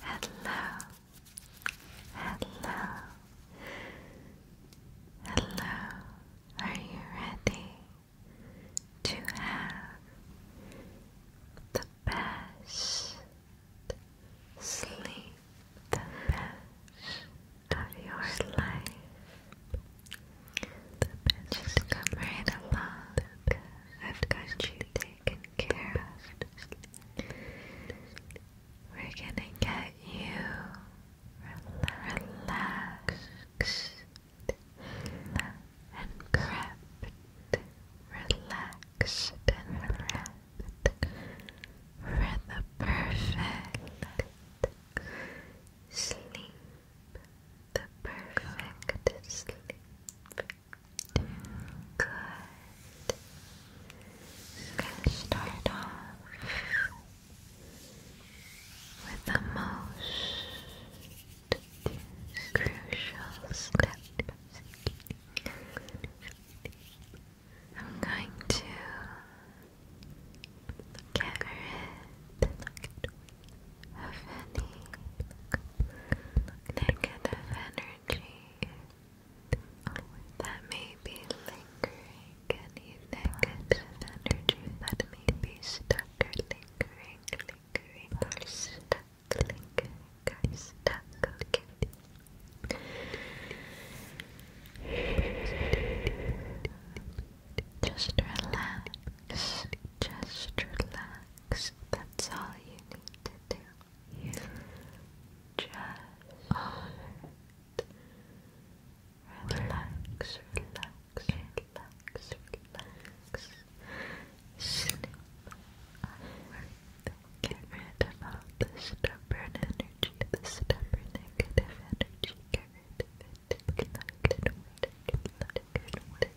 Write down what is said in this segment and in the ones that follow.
Hello, hello, hello. Are you ready to have the best sleep, the best of your life? Just come right along. I've got you. We're gonna get you relaxed and prepped, relaxed and prepped for the perfect sleep, the perfect sleep. Good. Just gonna start off with the most crucial step. I'm going to look at of any negative energy that may be lingering, any negative energy that may be stuck or lingering, lingering, or stuck, lingering, or stuck, Just relax, just relax, that's all you need to do. You just relax, relax, relax, relax. Sleep. Get rid of all the stubborn energy, the stubborn negative energy. Get rid of it. Let it, let it,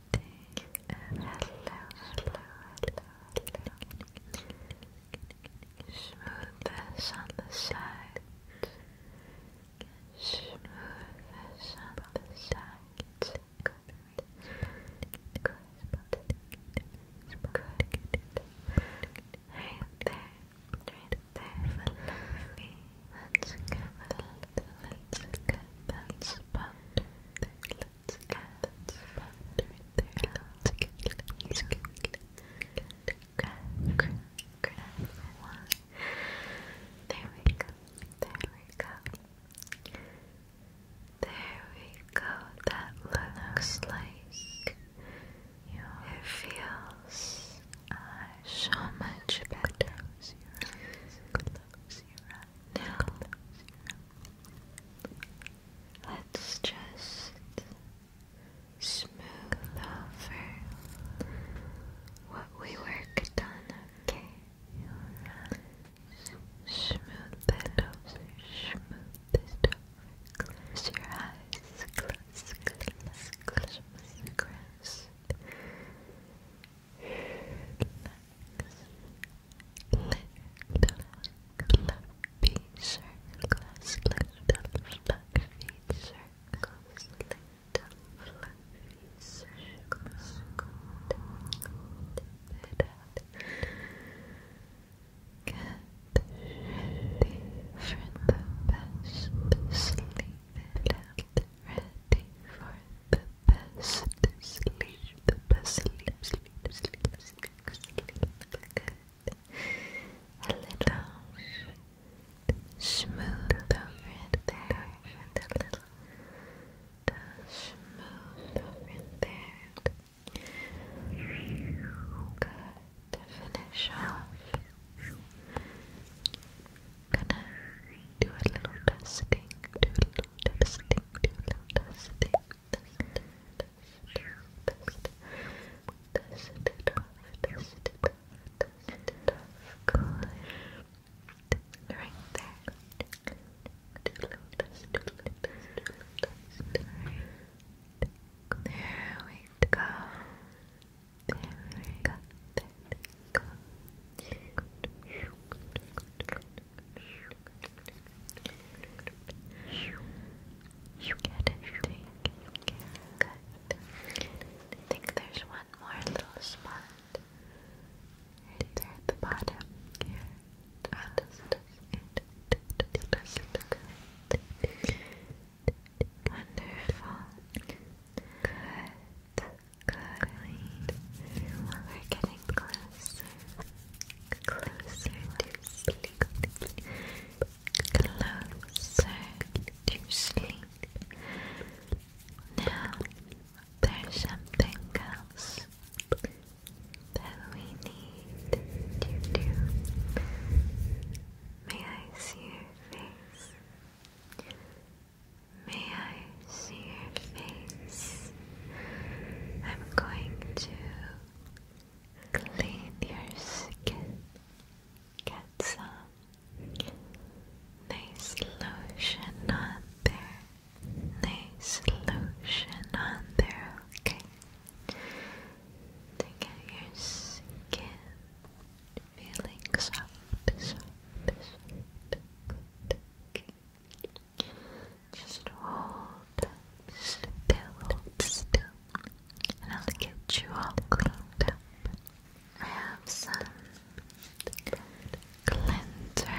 hello, hello, hello. Smoothness on the sides. Smoothness on the sides. Good. Good. Good. Right there. Right there. Follow Let's get that, let's get that spot right there, let's get that spot right there, let's get, let's get, grab, grab, grab one. There we go, there we go. There we go, that looks like it feels so much better. Now, let's just smooth over what we worked on, okay? Smooth that over, smooth that over. Close your eyes, close, close, close, close, close fluffy circles, little fluffy circles, little fluffy circles, it out. Get ready for the best sleep it get ready for the best sleep, the best sleep, sleep, sleep, sleep, sleep, good. A little smooth over there, a little smooth over it there. Good. To finish off, gonna do a little dusting, do a little dusting, do a little dusting, dust it, dust it off, dust it off, dust it off, dust it off, dust it off, good. Right there. Do a little dust, do a little dust, do a little dust. There we go. There we go. You get it. I think there's one more little spot right at the bottom. Wonderful. Good. We're getting closer. Closer to sleep. Closer to sleep. Now, there's something else that we need to do. May I see your face? May I see your face? I'm going to clean your skin. Get some nice lotion on there. Nice lotion on there, okay? To get your skin feeling soft, Just hold still, still, and I'll get you all cleaned up. I have some cleanser,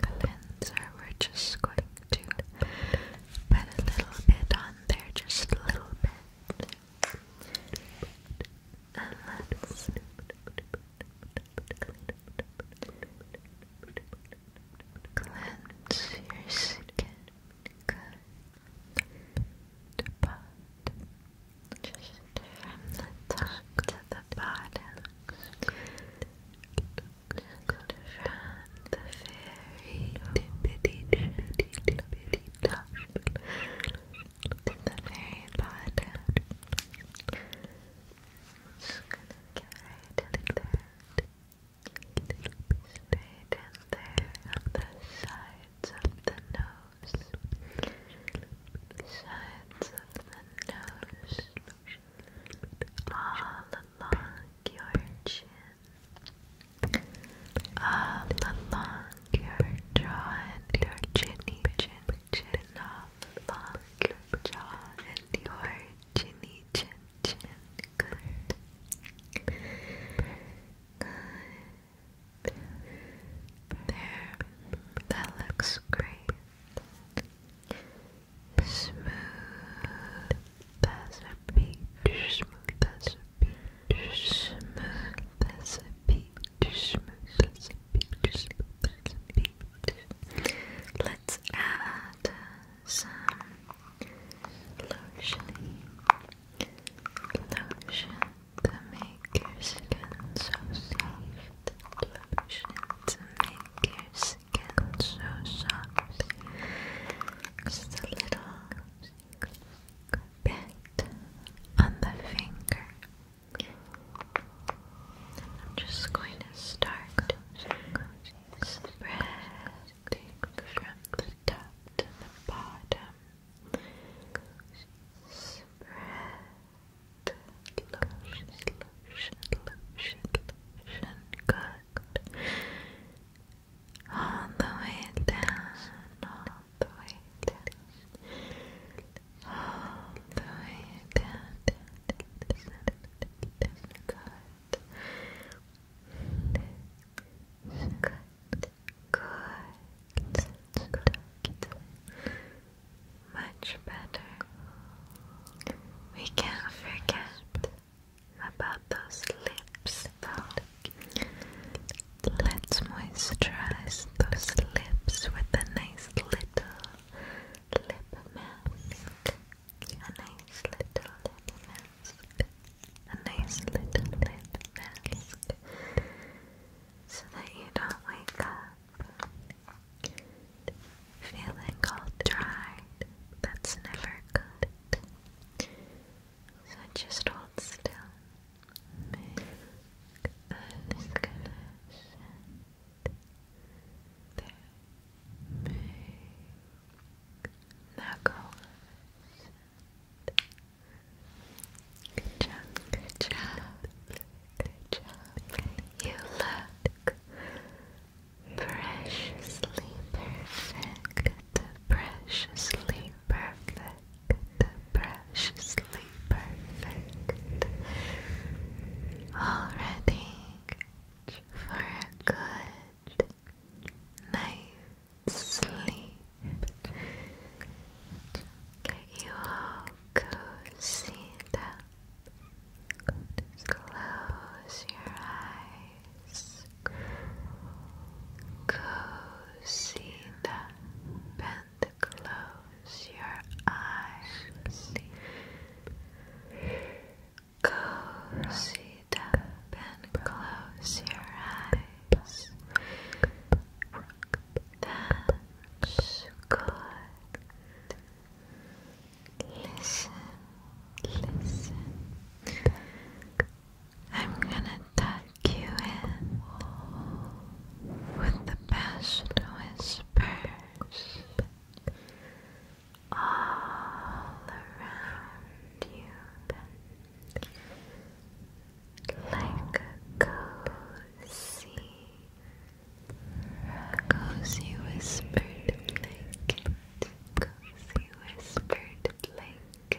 cleanser, we're just going to put a little bit on there, just a little bit and let cleanse your skin. Good. The Just from the top to the bottom. Good. Good. the very to the very bottom. Just get right in there. it there on the sides of the nose. Sides of the nose. All along your chin. All along your jaw and your chinny chin chin all along your jaw and your chinny chin chin good there that looks great smooth as a smooth peach smooth. Let's add some lotion. Lotion to make your skin so soft. Lotion to make your skin so soft. Just a little bit on the finger. I'm just going to start spreading from the top to the bottom. Spread lotion, lotion, lotion, lotion. Good all the way down, all the way down, all the way down. Good. Good. Good. Good. Much better. We can't forget about those lips, though. Let's moisturize those lips with a nice little lip mask. A nice little lip mask. A nice little lip mask. So that you don't wake up feeling all dried. That's never good. So just hold still. Make a disconnection. There. Make knuckles. Good job, good job, good job. You look preciously perfect the preciously perfect, the preciously perfect, all ready for a good night's sleep. you all cozy up. Close your eyes cozy up and close your eyes. Cozy up and close your eyes. That's good. Listen, listen. I'm gonna tuck you in with the best whispers all around you like a cozy, cozy whispered blanket, cozy whispered blanket.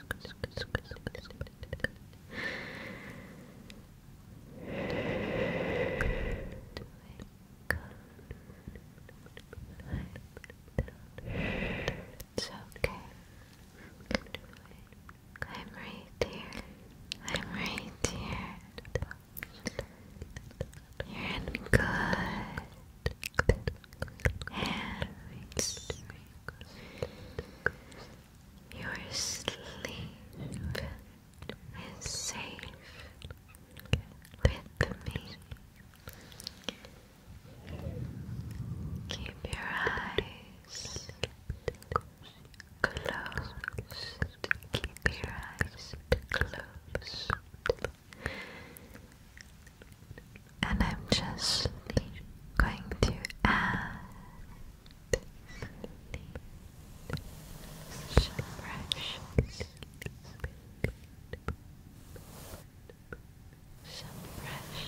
It's okay. I'm right here. I'm right here. You're good your sleep is safe with me. Keep your eyes closed. Keep your eyes closed and I'm just going to add some brush,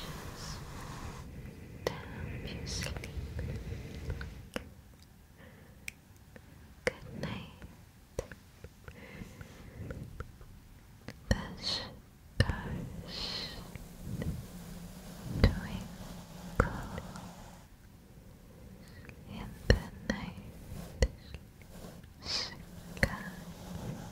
to you sleep. Good night. This twinkle in the night sky. Twinkle, twinkle, twinkle, dot, dot, dot,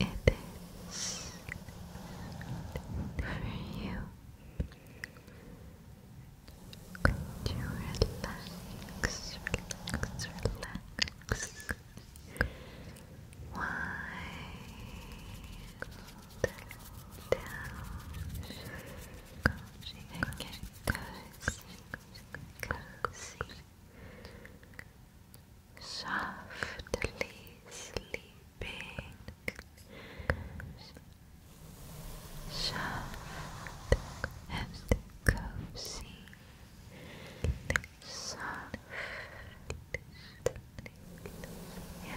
it is for you. Could you relax, relax, relax? Wind down. Cozy, cozy, cozy, cozy, cozy, cozy, softly sleeping, soft and cozy, soft and cozy. Good.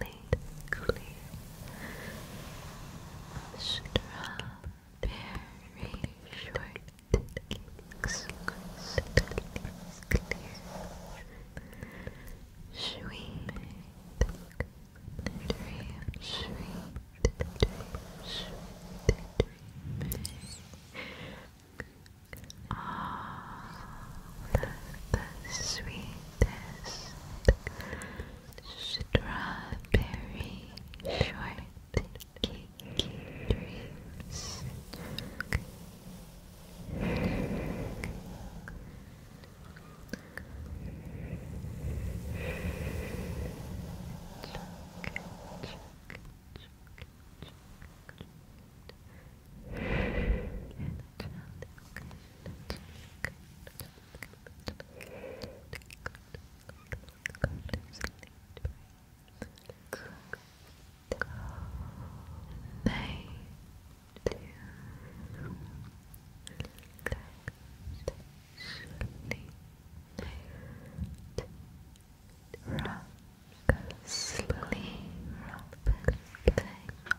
late clear strawberry shortcake sweet dream sweet dream sweet dream all the sweet this strawberry shortcake dreams. Chuck, Sleep, rock, play,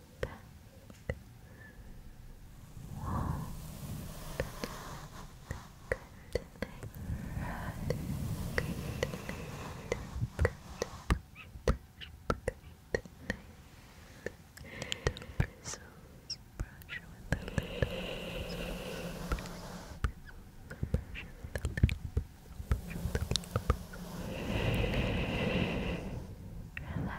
back, warm, good night, good night, good night, bristles, brush with the little bristles, bristles, brush with the little Relax,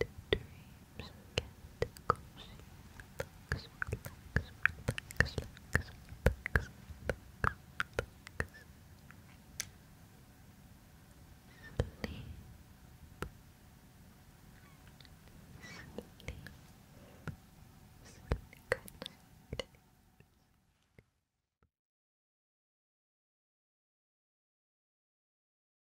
dreams get Sleep. Sleep. Sleep.